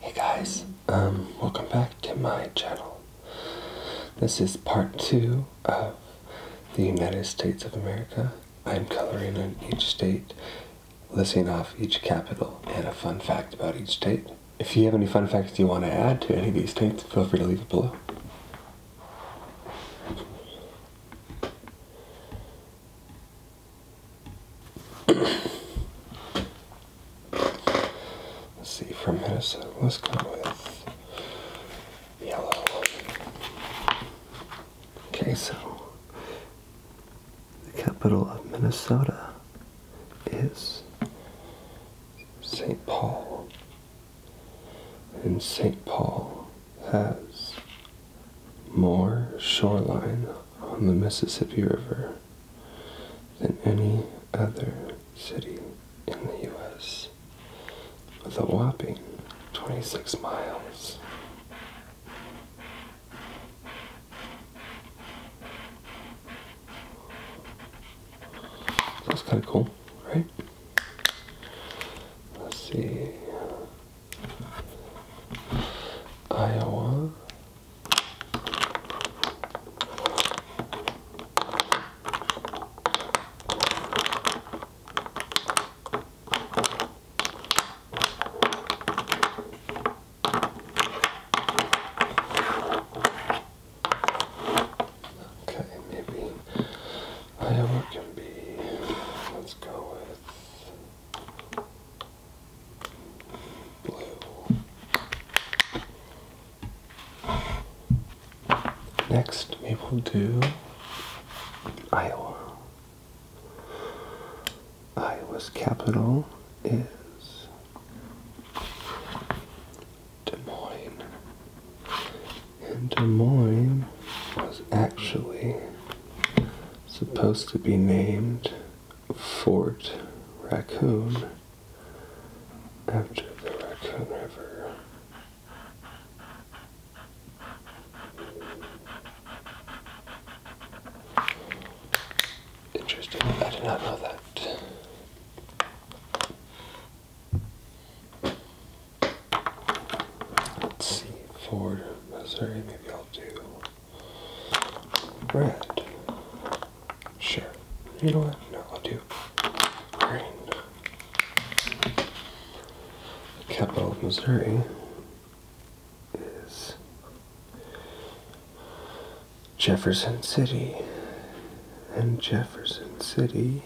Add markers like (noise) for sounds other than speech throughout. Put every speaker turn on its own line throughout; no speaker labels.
Hey guys, um, welcome back to my channel. This is part two of the United States of America. I'm coloring in each state, listing off each capital and a fun fact about each state. If you have any fun facts you want to add to any of these states, feel free to leave it below. (coughs) Let's see, from Minnesota, let's go with yellow. Okay, so the capital of Minnesota is St. Paul. And St. Paul has more shoreline on the Mississippi River than any other city in the U.S. with a whopping 26 miles. That's kind of cool, right? Let's see. Iowa. Okay, maybe Iowa can be, let's go with blue. Next, we will do Iowa. Iowa's capital is Des Moines. And Des Moines was actually supposed to be named Fort Raccoon after the Raccoon River. Interesting. I did not know that. Let's see. Ford, Missouri. Maybe I'll do red. Sure. You know what? No, I'll do green. Capital of Missouri is Jefferson City. And Jefferson City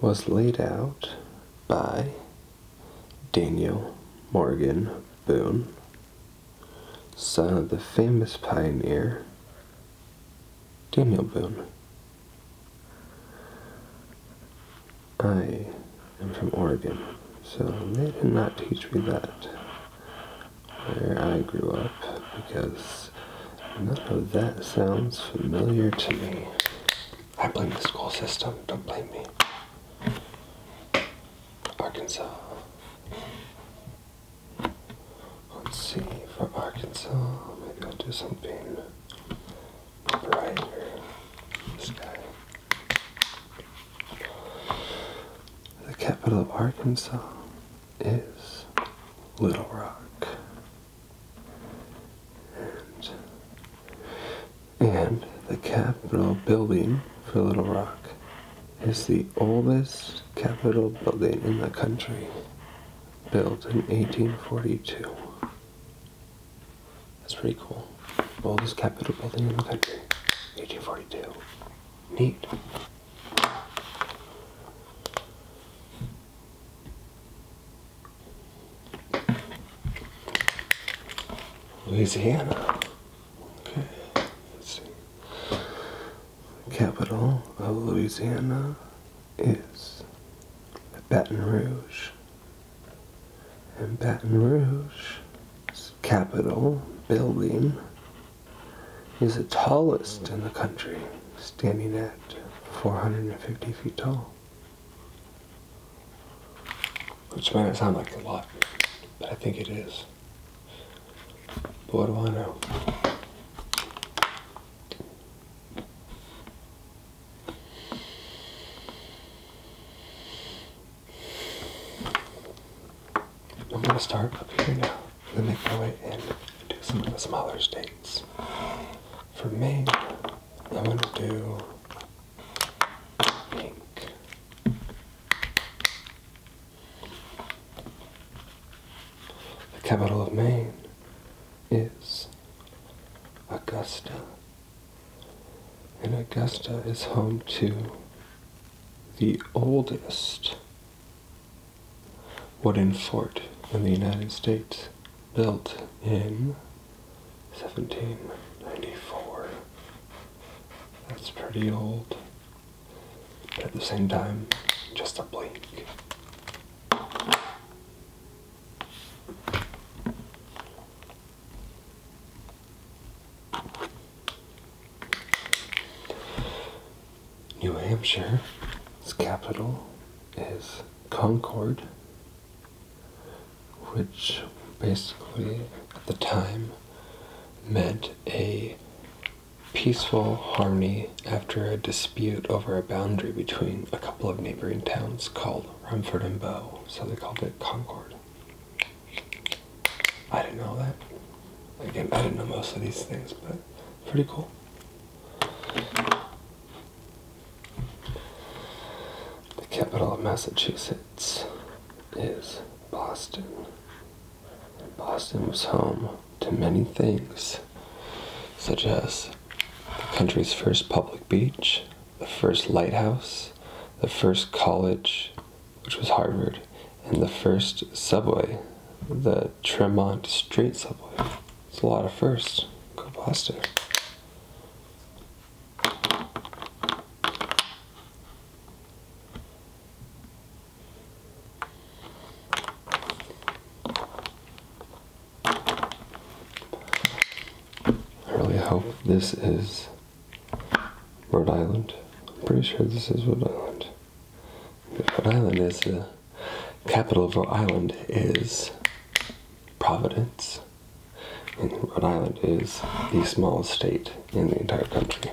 was laid out by Daniel Morgan Boone, son of the famous pioneer Daniel Boone. I am from Oregon, so they did not teach me that where I grew up because none of that sounds familiar to me. I blame the school system, don't blame me. Arkansas. Let's see, for Arkansas, maybe I'll do something brighter. This the capital of Arkansas is Little Rock. And, the Capitol building for Little Rock is the oldest Capitol building in the country, built in 1842. That's pretty cool. Oldest Capitol building in the country, 1842. Neat. Louisiana. Okay, let's see. The capital of Louisiana is Baton Rouge and Baton Rouge's capital building is the tallest in the country, standing at 450 feet tall. Which might not sound like a lot, but I think it is. But what do I know? I'm gonna start up here now and make my way in and do some of the smaller states. For Maine, I'm gonna do pink. The capital of Maine is Augusta. And Augusta is home to the oldest wooden fort in the United States, built in 1794. That's pretty old. But at the same time, just a blink. New Hampshire, its capital is Concord, which basically at the time meant a peaceful harmony after a dispute over a boundary between a couple of neighboring towns called called Rumford and Bow, so they called it Concord. I didn't know that. Again, I didn't know most of these things, but pretty cool. The capital of Massachusetts is Boston. Boston was home to many things, such as the country's first public beach, the first lighthouse, the first college, which was Harvard, and the first subway, the Tremont Street Subway. It's a lot of firsts. Go Boston. I really hope this is Rhode Island. I'm pretty sure this is Rhode Island. Rhode Island is the capital of Rhode Island is Providence. And Rhode Island is the smallest state in the entire country.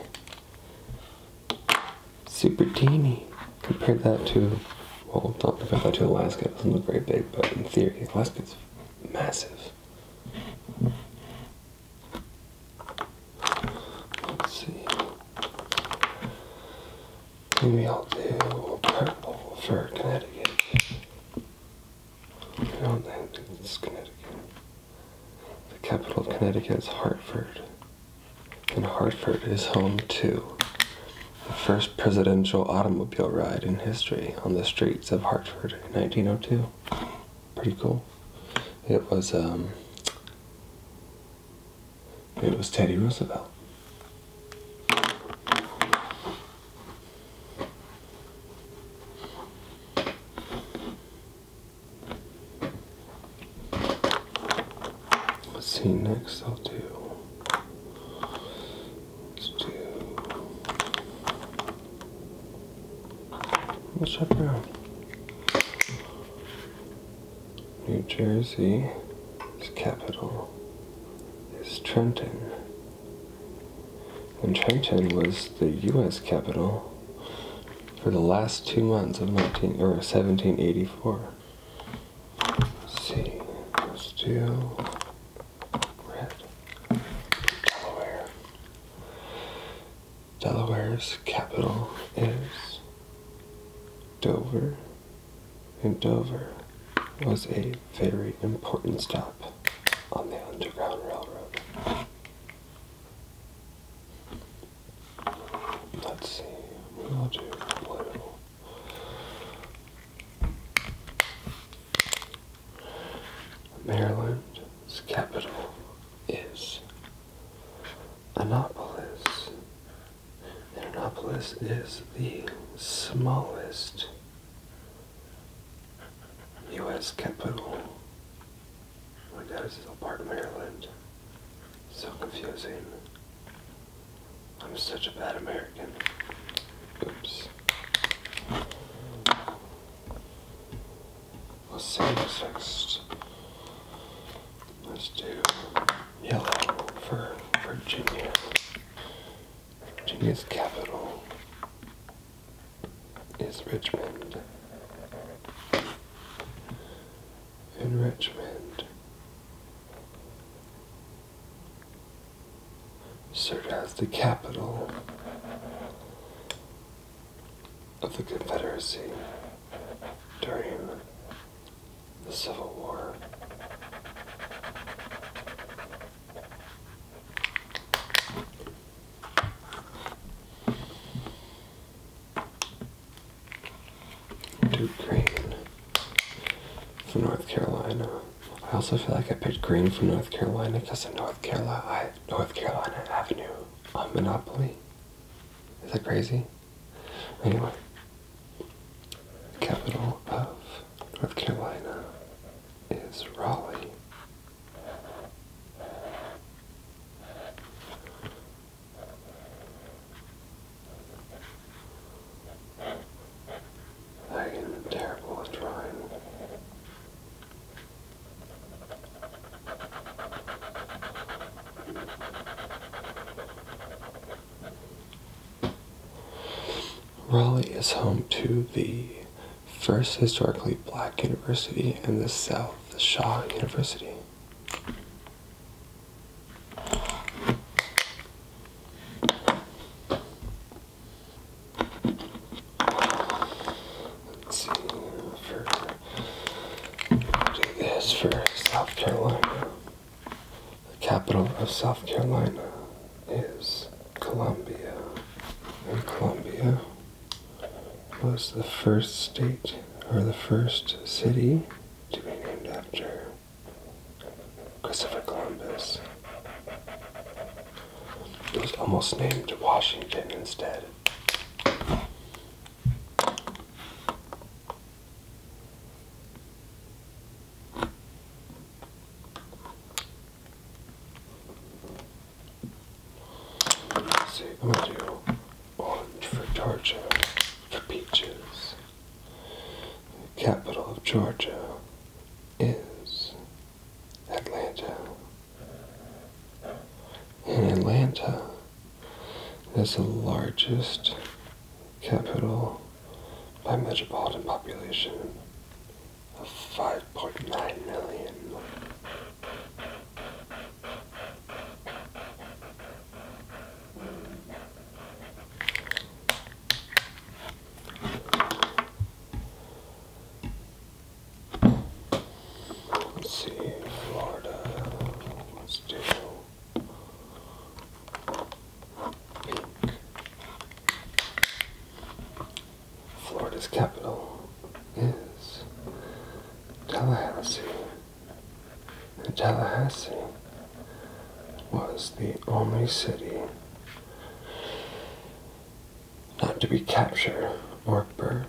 Super teeny. Compare that to well, do not compare that to Alaska. It doesn't look very big, but in theory, Alaska's massive. Let's see. Maybe I'll do purple for Connecticut. I don't think it's Connecticut. The capital of Connecticut is Hartford. And Hartford is home to the first presidential automobile ride in history on the streets of Hartford in 1902. Pretty cool. It was um, it was Teddy Roosevelt. Let's see next I'll do Let's do. What's up now? New Jersey's capital is Trenton. And Trenton was the U.S. capital for the last two months of 19 or 1784. see, let Red. Delaware. Delaware's capital is Dover, and Dover was a very important stop on the Underground Railroad. Let's see, we'll do blue. Maryland's capital is Annapolis. Annapolis is the smallest U.S. capital. My dad is still part of Maryland. So confusing. I'm such a bad American. Oops. Let's see next. Let's do yellow for Virginia. Virginia's capital is Richmond. In Richmond served as the capital of the Confederacy during the Civil War. Duke Green from North Carolina. I also feel like I picked Green from North Carolina because of North Carolina, North Carolina Avenue on Monopoly. Is that crazy? Anyway, capital of North Carolina is Raleigh. I am terrible at drawing. Raleigh is home to the first historically black university in the South, the Shaw University. Let's see for do this for South Carolina. The capital of South Carolina is Columbia. And Columbia was the first state or the first city to be named after Christopher Columbus. It was almost named Washington instead. see, I'm gonna do orange for Georgia, for peaches. The capital of Georgia is Atlanta. And Atlanta is the largest capital by metropolitan population of 5.9 million see, Florida, let's pink. Florida's capital is Tallahassee. And Tallahassee was the only city not to be captured or burned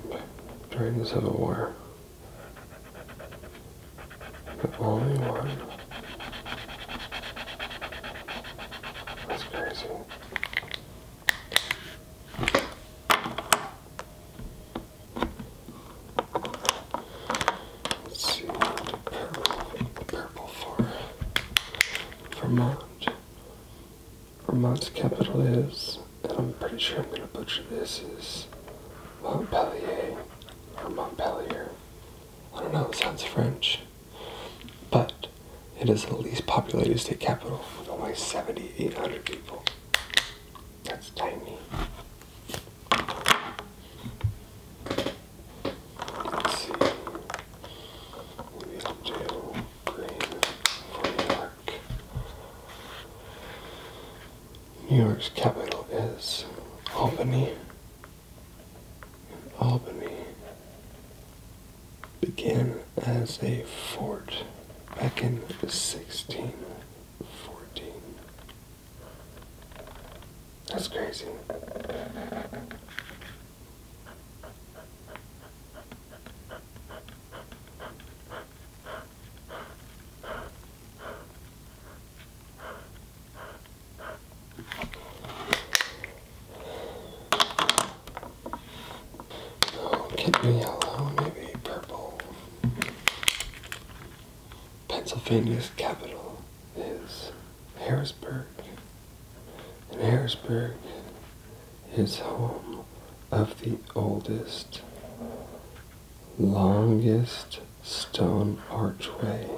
during the Civil War. The only one. That's crazy. Let's see purple, purple for Vermont. Vermont's capital is, and I'm pretty sure I'm gonna butcher this, is Montpelier. Montpelier. I don't know, it sounds French. But it is the least populated state capital with only 7,800 people. That's tiny. Let's see. Maybe for New York. New York's capital is Albany. And Albany began as a fort back in 1614. That's crazy. Keep me yellow, maybe purple. Pennsylvania's capital is Harrisburg. And Harrisburg is home of the oldest, longest stone archway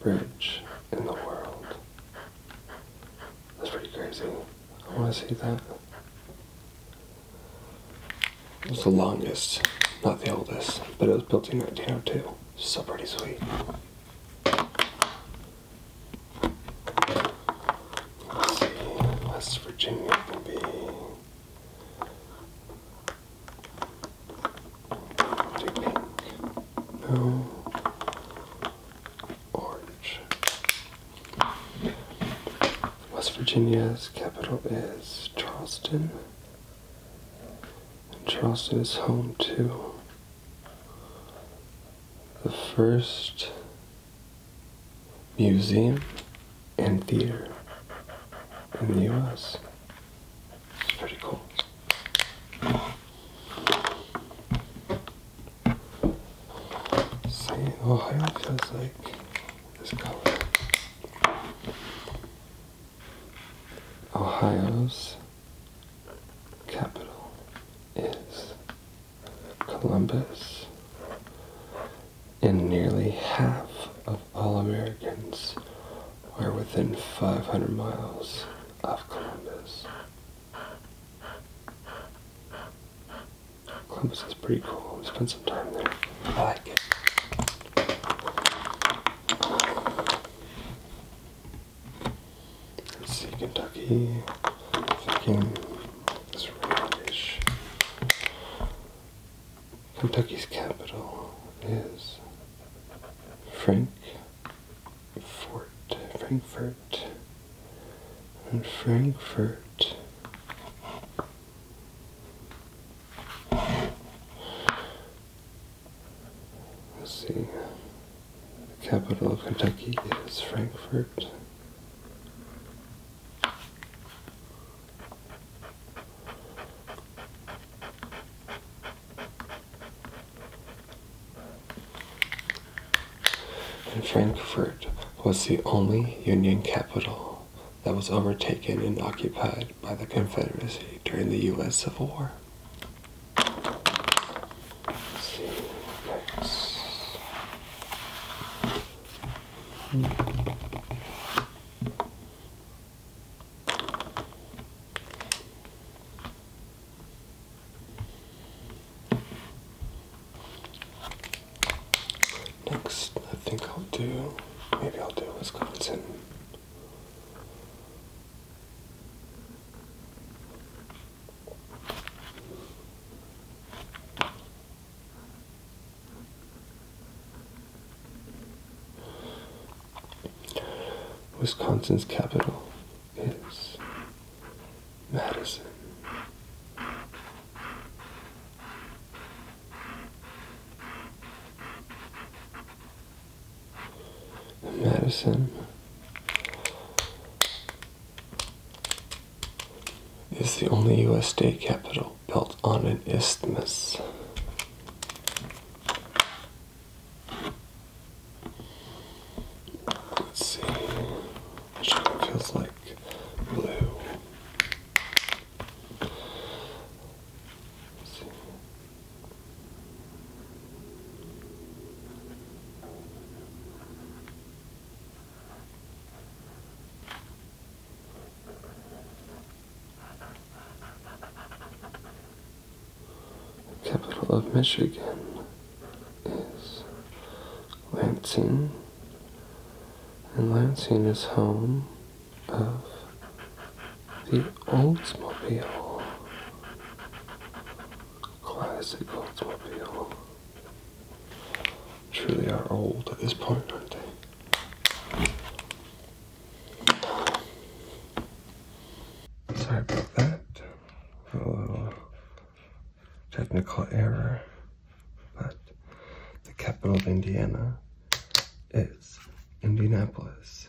bridge in the world. That's pretty crazy. I want to see that. It was the longest, not the oldest, but it was built in 1902. So pretty sweet. Let's see, West Virginia can be. No. Orange. West Virginia's capital is Charleston. And Charleston is home to the first museum and theater in the US. It's pretty cool. St. Ohio feels like this color. Ohio's capital is Columbus, and nearly half of all Americans are within 500 miles of Columbus. Columbus is pretty cool. We spent some time there. I like it. Let's see, Kentucky. Thinking it's reddish. Kentucky's capital is Frankfort. Frankfort Frankfurt and Frankfurt Let's see. The capital of Kentucky is Frankfort. And Frankfurt was the only Union capital that was overtaken and occupied by the Confederacy during the U.S. Civil War. Next, I think I'll do, maybe I'll do Wisconsin. Wisconsin's capital is Madison. Madison is the only U.S. state capital built on an isthmus. Let's see feels like blue. The capital of Michigan is Lansing, and Lansing is home of the Oldsmobile, classic Oldsmobile. Truly are old at this point, Sorry about that. A technical error, but the capital of Indiana is Indianapolis.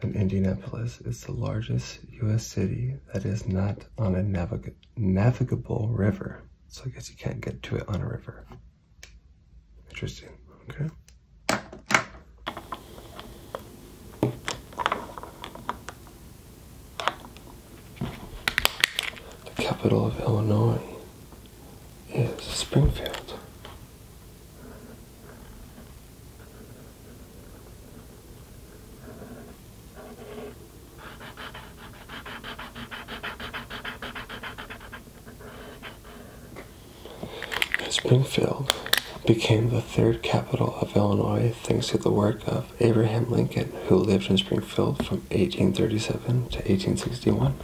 And Indianapolis is the largest U.S. city that is not on a navigable river. So I guess you can't get to it on a river. Interesting, okay. The capital of Illinois is Springfield. Springfield became the third capital of Illinois thanks to the work of Abraham Lincoln, who lived in Springfield from 1837 to 1861.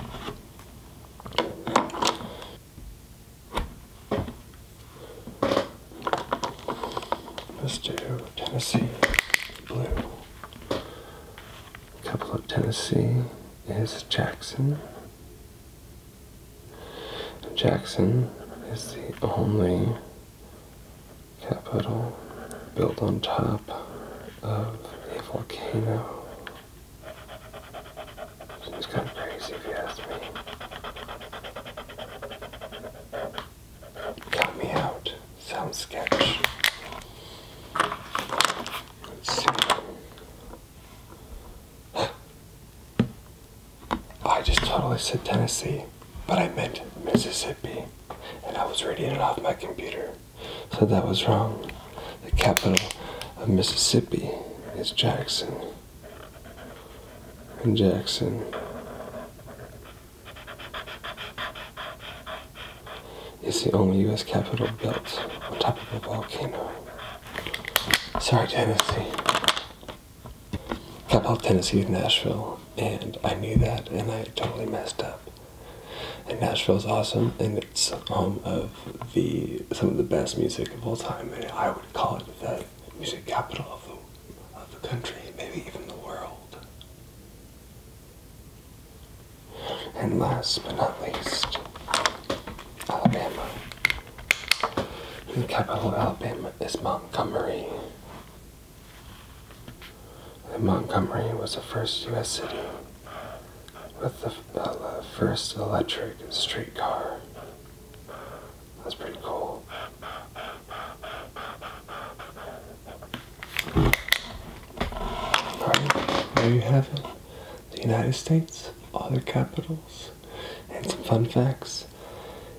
Let's do Tennessee blue. couple of Tennessee is Jackson. Jackson is the only capital built on top of a volcano. Seems kind of crazy if you ask me. Count me out. Sound sketch. Let's see. (gasps) I just totally said Tennessee but I meant Mississippi, and I was reading it off my computer, so that was wrong. The capital of Mississippi is Jackson. And Jackson. is the only U.S. capital built on top of a volcano. Sorry, Tennessee. Capital Tennessee is Nashville and I knew that, and I totally messed up. And Nashville's awesome, and it's home of the some of the best music of all time, and I would call it the music capital of the of the country, maybe even the world. And last but not least, Alabama. The capital of Alabama is Montgomery. Montgomery was the first U.S. city with uh, the first electric streetcar. That's pretty cool. there you have it. The United States, all their capitals, and some fun facts.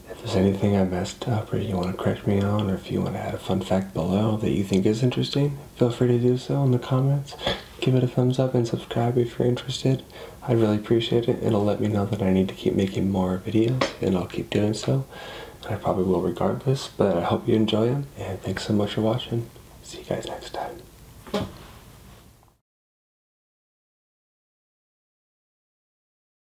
If there's anything I messed up or you want to correct me on, or if you want to add a fun fact below that you think is interesting, feel free to do so in the comments. Give it a thumbs up and subscribe if you're interested. I would really appreciate it. It'll let me know that I need to keep making more videos, and I'll keep doing so. I probably will regardless, but I hope you enjoy them, and thanks so much for watching. See you guys next time.